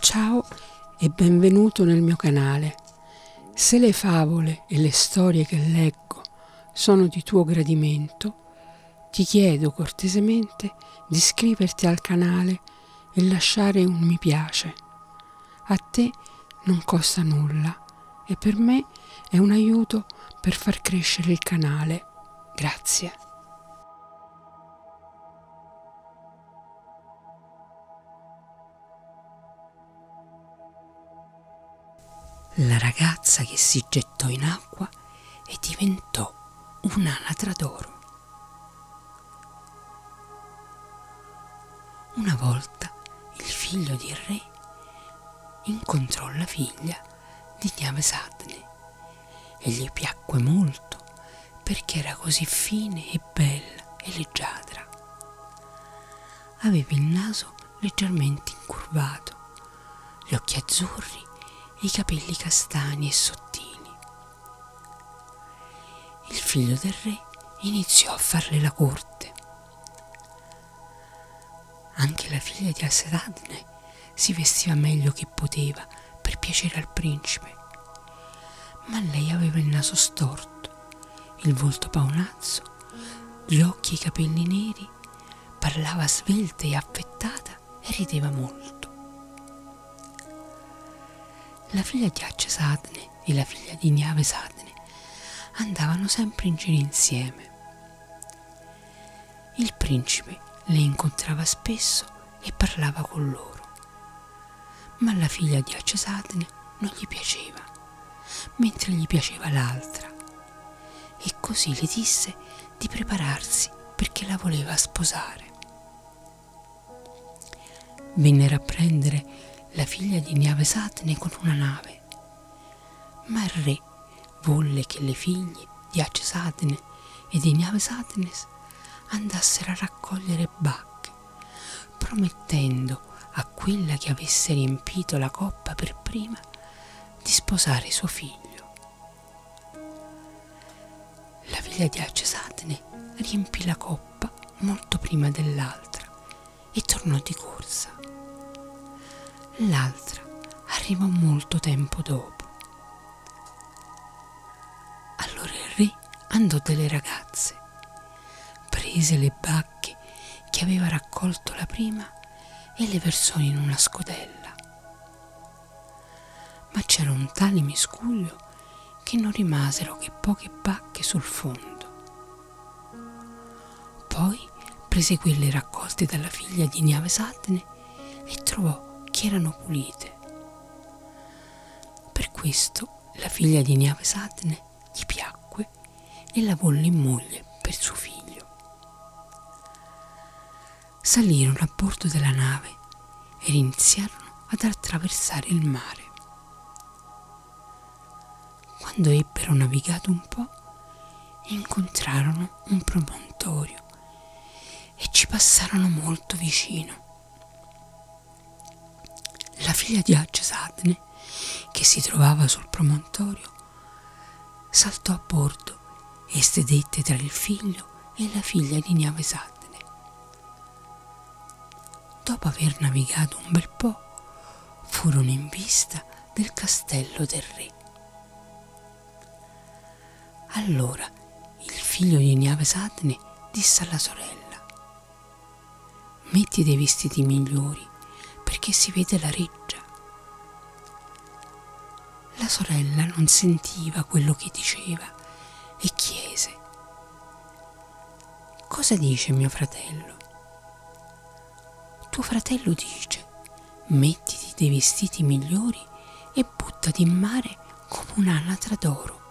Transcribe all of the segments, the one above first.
Ciao e benvenuto nel mio canale. Se le favole e le storie che leggo sono di tuo gradimento, ti chiedo cortesemente di iscriverti al canale e lasciare un mi piace. A te non costa nulla e per me è un aiuto per far crescere il canale. Grazie. La ragazza che si gettò in acqua e diventò un'anatra d'oro. Una volta il figlio di re incontrò la figlia di Niavesadne e gli piacque molto perché era così fine e bella e leggiadra. Aveva il naso leggermente incurvato, gli occhi azzurri e i capelli castani e sottili. Il figlio del re iniziò a farle la corte anche la figlia di Asseradne si vestiva meglio che poteva per piacere al principe, ma lei aveva il naso storto, il volto paonazzo, gli occhi e i capelli neri, parlava svelta e affettata e rideva molto. La figlia di Accesadne e la figlia di Niave Sadne andavano sempre in giro insieme. Il principe le incontrava spesso e parlava con loro, ma la figlia di Accesadne non gli piaceva, mentre gli piaceva l'altra, e così le disse di prepararsi perché la voleva sposare. Vennero a prendere la figlia di Niavesatne con una nave, ma il re volle che le figlie di Acesatne e di Niavesatnes andassero a raccogliere bacche, promettendo a quella che avesse riempito la coppa per prima di sposare suo figlio. La figlia di Acesatne riempì la coppa molto prima dell'altra e tornò di corsa. L'altra arrivò molto tempo dopo. Allora il re andò delle ragazze, prese le bacche che aveva raccolto la prima e le versò in una scodella. Ma c'era un tale miscuglio che non rimasero che poche bacche sul fondo. Poi prese quelle raccolte dalla figlia di Niavesatne e trovò che erano pulite. Per questo la figlia di Niavesatne gli piacque e la volle in moglie per suo figlio. Salirono a bordo della nave ed iniziarono ad attraversare il mare. Quando ebbero navigato un po', incontrarono un promontorio e ci passarono molto vicino. La figlia di Agesadne, che si trovava sul promontorio, saltò a bordo e sedette tra il figlio e la figlia di Niavesadne. Dopo aver navigato un bel po', furono in vista del castello del re. Allora il figlio di Niavesatne disse alla sorella: Metti dei vestiti migliori perché si vede la reggia. La sorella non sentiva quello che diceva e chiese Cosa dice mio fratello? Tuo fratello dice mettiti dei vestiti migliori e buttati in mare come un'anatra d'oro,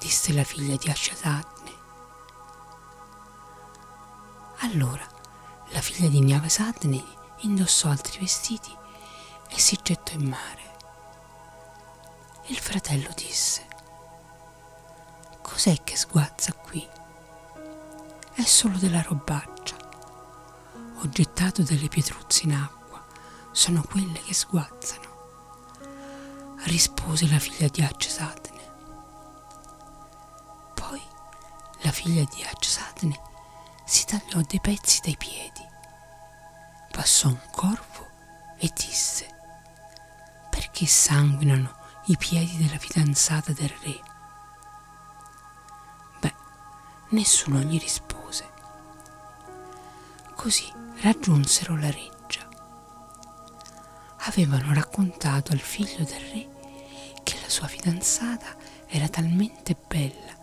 disse la figlia di Asciatatne. Allora la figlia di Niavasadne indossò altri vestiti e si gettò in mare. Il fratello disse, Cos'è che sguazza qui? È solo della robaccia. Ho gettato delle pietruzze in acqua, sono quelle che sguazzano, rispose la figlia di Accesatne. Poi la figlia di Accesatne si tagliò dei pezzi dai piedi Passò un corvo e disse, perché sanguinano i piedi della fidanzata del re? Beh, nessuno gli rispose. Così raggiunsero la reggia. Avevano raccontato al figlio del re che la sua fidanzata era talmente veramente bella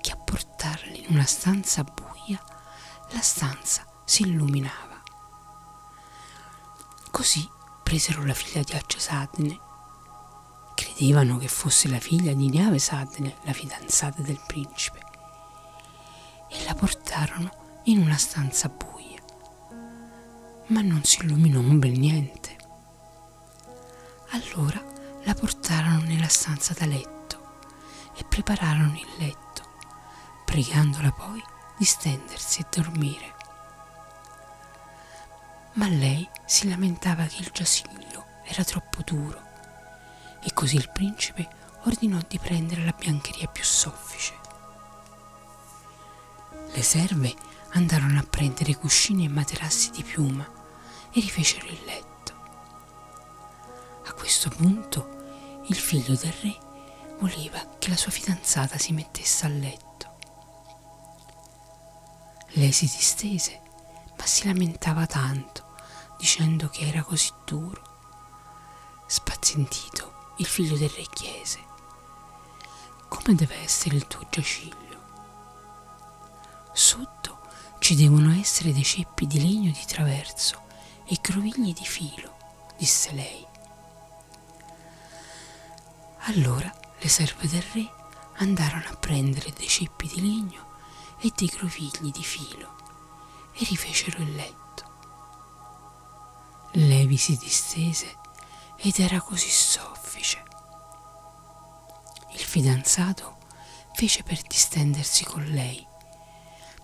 che a portarli in una stanza buia la stanza si illuminava. Così presero la figlia di Acce Sadne. Credevano che fosse la figlia di Neave Sadne, la fidanzata del principe, e la portarono in una stanza buia, ma non si illuminò un bel niente. Allora la portarono nella stanza da letto e prepararono il letto, pregandola poi di stendersi e dormire. Ma lei si lamentava che il giaciglio era troppo duro e così il principe ordinò di prendere la biancheria più soffice. Le serve andarono a prendere cuscini e materassi di piuma e rifecero il letto. A questo punto il figlio del re voleva che la sua fidanzata si mettesse a letto. Lei si distese, ma si lamentava tanto, dicendo che era così duro. Spazientito, il figlio del re chiese come deve essere il tuo giaciglio? Sotto ci devono essere dei ceppi di legno di traverso e grovigli di filo, disse lei. Allora le serve del re andarono a prendere dei ceppi di legno e dei grovigli di filo e rifecero il letto. Levi si distese ed era così soffice il fidanzato fece per distendersi con lei,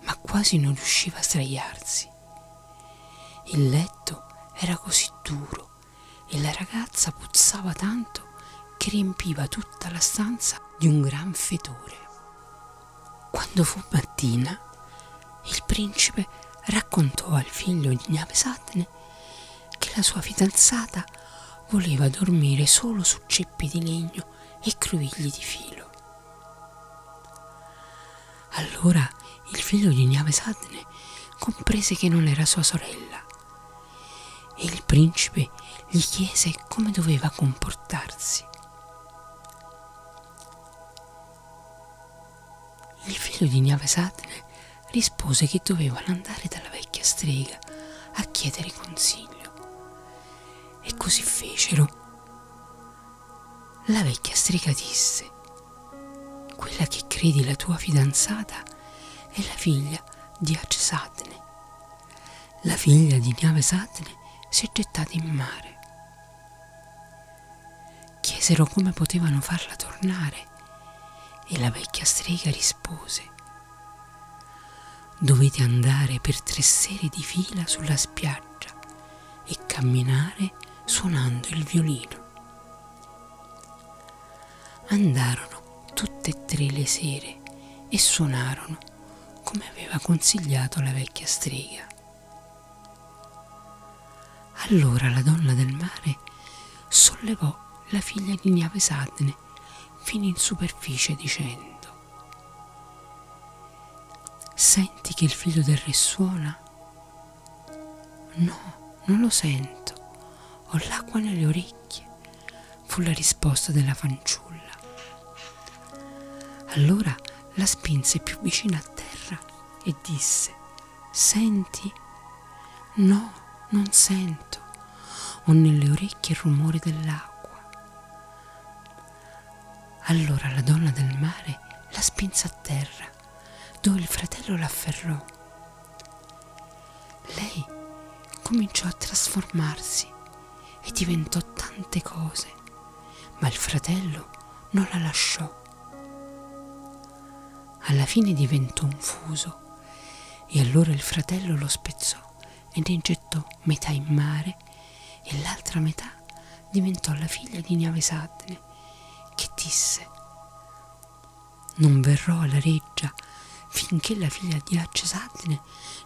ma quasi non riusciva a sdraiarsi. Il letto era così duro e la ragazza puzzava tanto che riempiva tutta la stanza di un gran fetore. Quando fu mattina, il principe raccontò al figlio di Navesatne che la sua fidanzata voleva dormire solo su ceppi di legno e cruvigli di filo. Allora il figlio di Navesatne comprese che non era sua sorella e il principe gli chiese come doveva comportarsi. Il figlio di Gnave Satane rispose che dovevano andare dalla vecchia strega a chiedere consiglio. E così fecero. La vecchia strega disse, quella che credi la tua fidanzata è la figlia di Ace Satane. La figlia di Gnave Satane si è gettata in mare chiesero come potevano farla tornare e la vecchia strega rispose dovete andare per tre sere di fila sulla spiaggia e camminare suonando il violino. Andarono tutte e tre le sere e suonarono come aveva consigliato la vecchia strega. Allora la donna del mare sollevò la figlia di Niavesatne fino in superficie dicendo Senti che il figlio del re suona? No, non lo sento, ho l'acqua nelle orecchie, fu la risposta della fanciulla. Allora la spinse più vicina a terra e disse Senti? No, non sento. Ho nelle orecchie il rumore dell'acqua. Allora la donna del mare la spinse a terra, dove il fratello l'afferrò. Lei cominciò a trasformarsi e diventò tante cose ma il fratello non la lasciò. Alla fine diventò un fuso e allora il fratello lo spezzò e ne gettò metà in mare e l'altra metà diventò la figlia di Niavesatne che disse non verrò alla reggia finché la figlia di Accesatne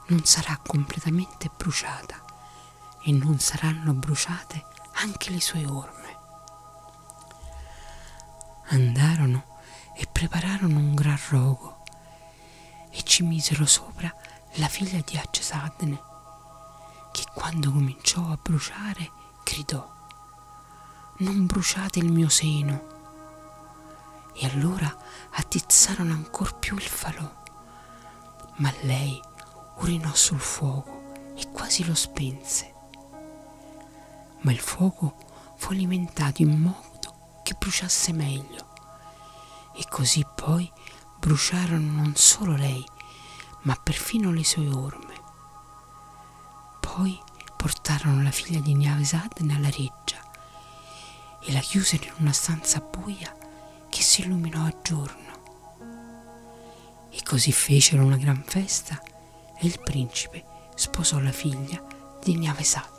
non sarà completamente bruciata e non saranno bruciate anche le sue orme. Andarono e prepararono un gran rogo e ci misero sopra la figlia di Accesadne, che quando cominciò a bruciare gridò Non bruciate il mio seno. E allora attizzarono ancor più il falò ma lei urinò sul fuoco e quasi lo spense. Ma il fuoco fu alimentato in modo che bruciasse meglio e così poi bruciarono non solo lei, ma perfino le sue orme. Poi portarono la figlia di Niavesad nella reggia e la chiusero in una stanza buia che si illuminò a giorno. E così fecero una gran festa e il principe sposò la figlia di Niavesat.